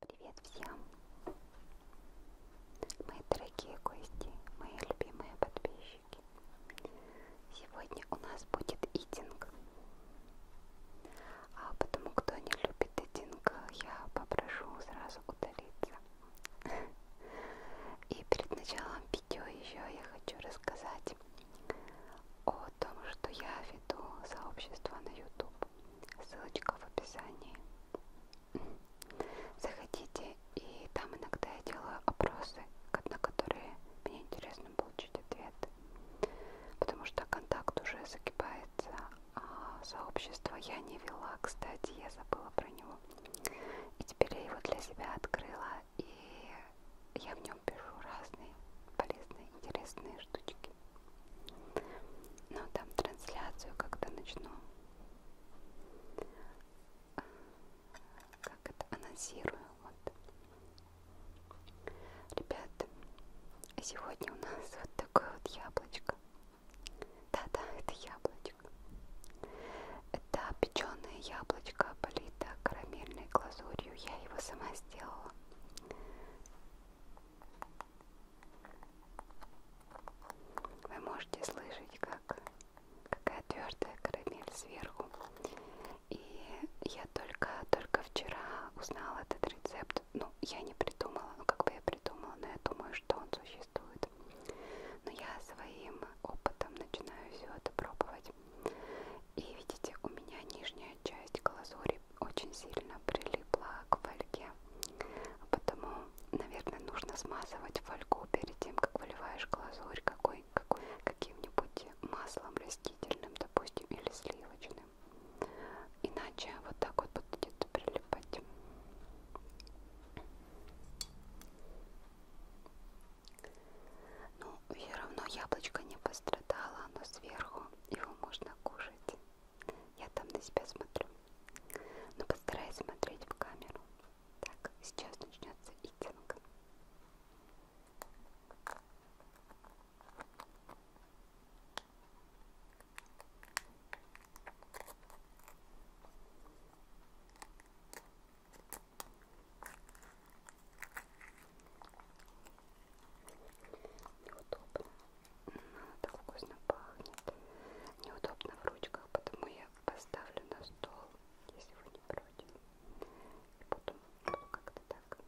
Привет всем, мои дорогие гости, мои любимые подписчики. Сегодня у нас будет итинг. А потому кто не любит итинг, я попрошу сразу удалиться. И перед началом видео еще я хочу рассказать о том, что я веду сообщество на YouTube. Ссылочка в описании. Заходите, и там иногда я делаю опросы, на которые мне интересно получить ответ. Потому что контакт уже загибается, а сообщество я не вела, кстати, я забыла про него. И теперь я его для себя открыла, и я в нем пишу разные полезные, интересные штучки. Но там трансляцию как-то начну. Э, как это анонсирую. Вот. Ребят, сегодня у нас вот такое вот яблочко. Да-да, это яблочко. Это печеное яблочко, полито карамельной глазурью. Я его сама сделала. Вы можете слышать, как какая твердая карамель сверху. И я только, только вчера узнала этот рецепт. Ну, я не придумала, ну как бы я придумала, но я думаю, что он существует. Но я своим опытом начинаю все это пробовать. И видите, у меня нижняя часть глазури очень сильно прилипла к фольге. Потому, наверное, нужно смазывать фольгу перед тем, как выливаешь глазурь какой, какой каким-нибудь маслом растительным, допустим, или сливочным. Иначе вот так вот будет прилипать. Ну, все равно яблочко не пострадало, оно сверху, его можно кушать. Я там на себя смотрю. Но постараюсь смотреть в камеру. Так, сейчас начнется итинг. Неудобно. Она так вкусно пахнет. Неудобно в ручках, потому я поставлю на стол, если вы не против. И буду, буду как-то так.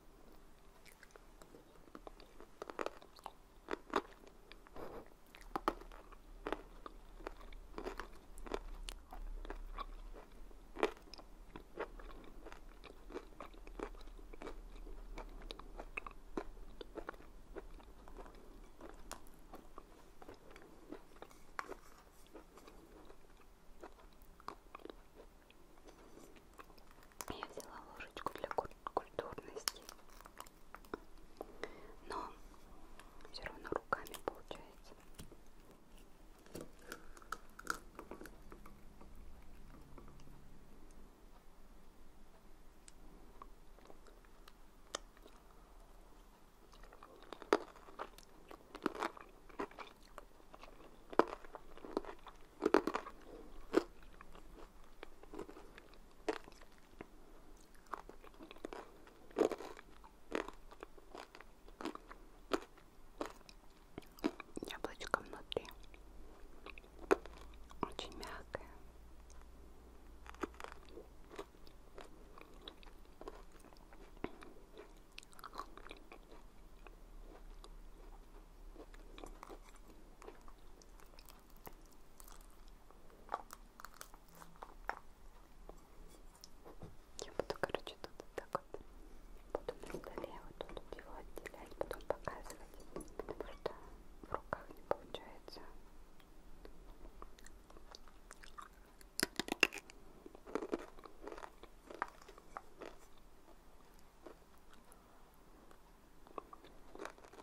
Я взяла ложечку для культурности но все равно руками получается. Яблочко внутри очень мягкое. Я буду, короче, тут вот так вот буду на столе вот тут его отделять, потом показывать, потому что в руках не получается.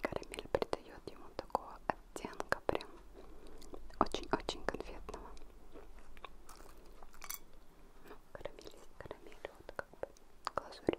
Карамель придает ему такого оттенка прям очень-очень конфетного. Ну, карамель есть карамель, вот как бы глазурь.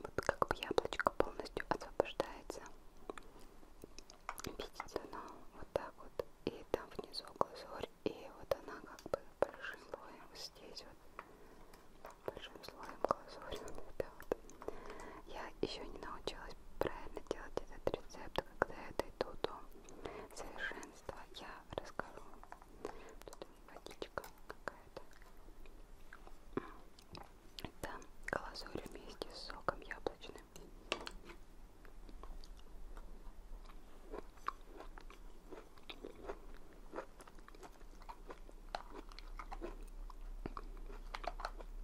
Вот как бы яблочко полностью освобождается. Видите, она вот так вот. И там внизу глазурь. И вот она как бы большим слоем здесь вот. Большим слоем глазурь. Вот, вот. Я еще не научилась научилась правильно делать этот рецепт, когда я дойду до совершенства, я расскажу. Тут водичка какая-то. Это глазурь вместе с соком яблочным.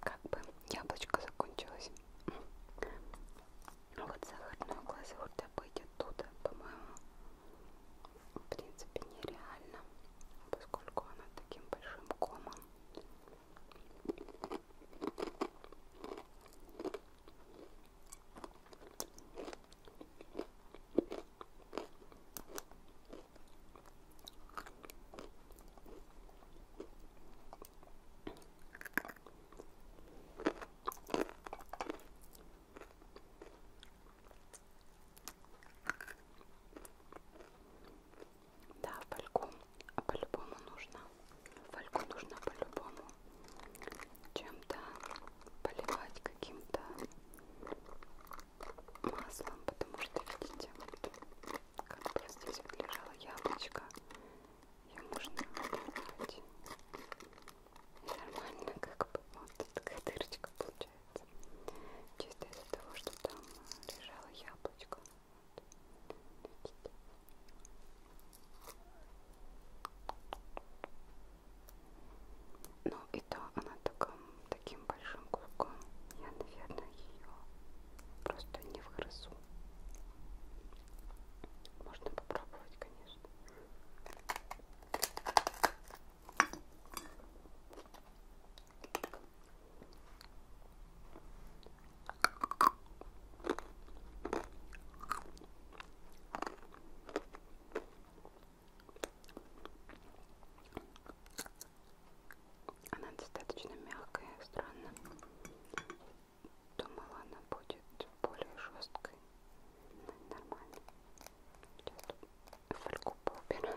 Как бы яблочко закончилось. Ну, вот сахарную глазурь добыть оттуда, по-моему, в принципе нереально, поскольку она таким большим комом. Да, фольгу а по-любому нужно. Фольгу нужно по-любому чем-то поливать каким-то маслом, потому что, видите, вот, как бы здесь вот лежало яблочко, ее можно поливать нормально как бы, вот такая дырочка получается, чисто из-за того, что там лежало яблочко. Ну и то она таком, таким большим куском, я, наверное, ее просто не вгрызу. Можно попробовать, конечно. Она достаточно мягкая, странно. Думала, она будет более жесткой. Это нормально. Сейчас фольгу поубираю.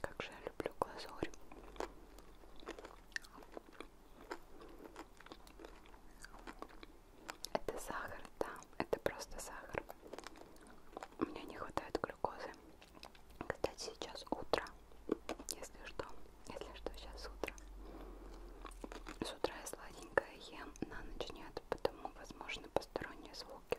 Как же я люблю глазурь. Это сахар, да, это просто сахар. Мне не хватает глюкозы. Кстати, сейчас утро. Если что, если что, сейчас утро. С утра я сладенькое ем, на ночь нет, потому возможно посторонние звуки.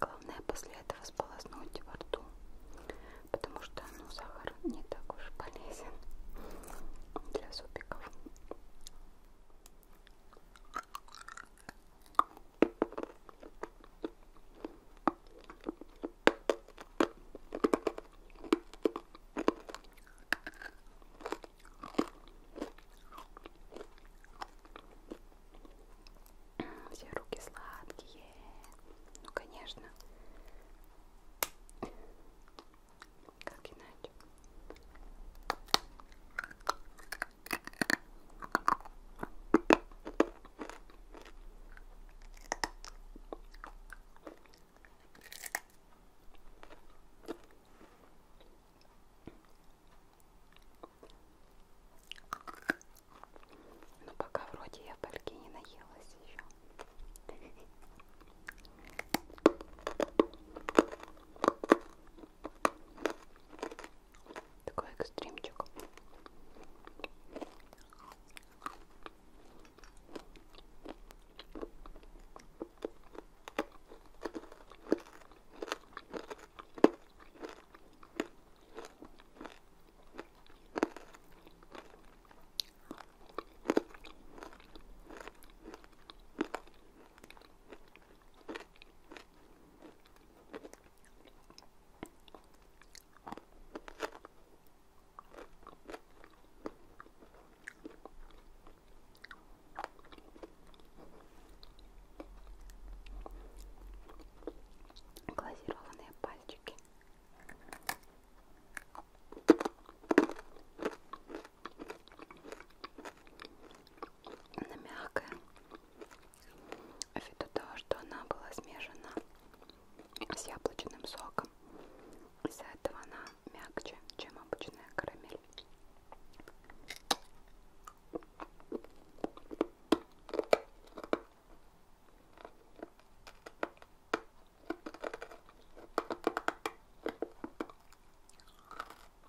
Главное после этого сполоснуть во рту, потому что ну, сахар не так уж полезен для супиков. Все руки сладкие. Ну, конечно. Как иначе? Ну пока вроде я пальки не наелась еще. Такой экстримчик. Глазированные пальчики. На мягкое ввиду того, что она была смешана с яблочным соком. Из-за этого она мягче, чем обычная карамель.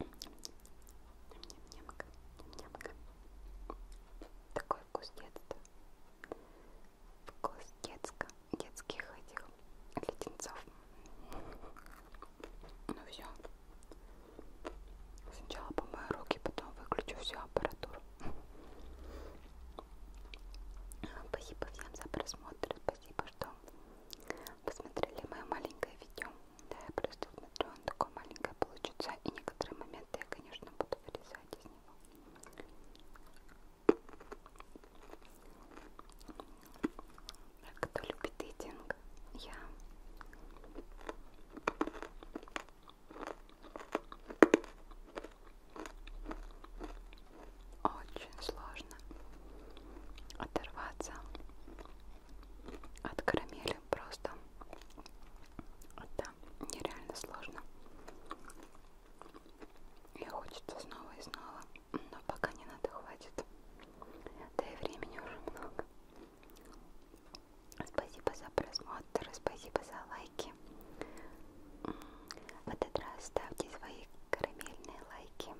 Ням-ням-нямка, ням-нямка. Такой вкус детства. Вкус детска, детских этих леденцов. Ну все. Сначала помою руки, потом выключу всю аппаратуру. Спасибо всем за просмотр. Спасибо, что посмотрели мое маленькое видео. Да, я просто смотрю, он такой маленькое получится. И некоторые моменты я, конечно, буду вырезать из него. Кто любит эйтинг? Я очень сложно оторваться от карамели просто это нереально сложно и хочется снова и снова но пока не надо хватит да и времени уже много спасибо за просмотр спасибо за лайки в этот раз ставьте свои карамельные лайки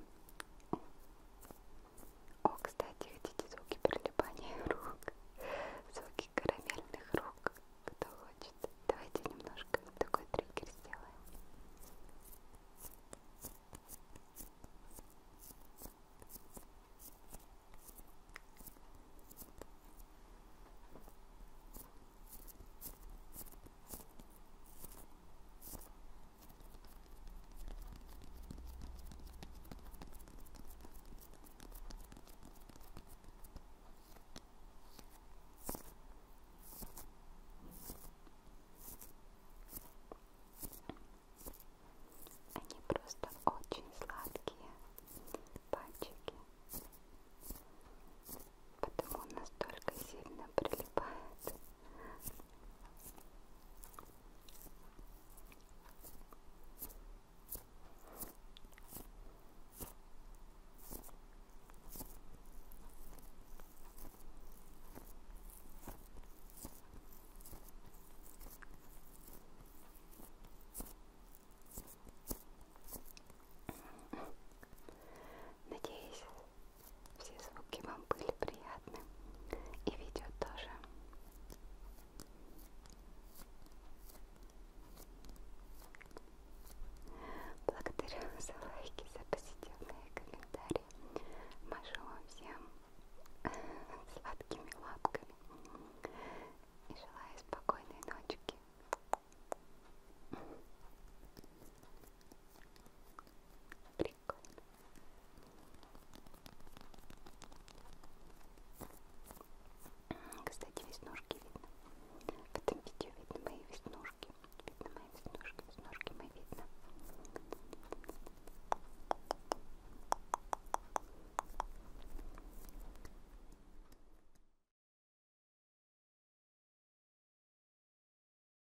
о, кстати, видите звуки прилипания рук, звуки карамельных рук, кто хочет. Давайте немножко такой триггер сделаем. Ой, они просто очень сладкие пальчики, потому настолько сильно прилипают. Надеюсь, все звуки вам были приятны и видео тоже. Благодарю за лайки, за позитивные комментарии. Машу вам всем сладкими лапками и желаю спокойной ночки. Приятного прикольно. Кстати, веснушки видно. В этом видео видно мои веснушки. Видно мои веснушки. Веснушки мои видно.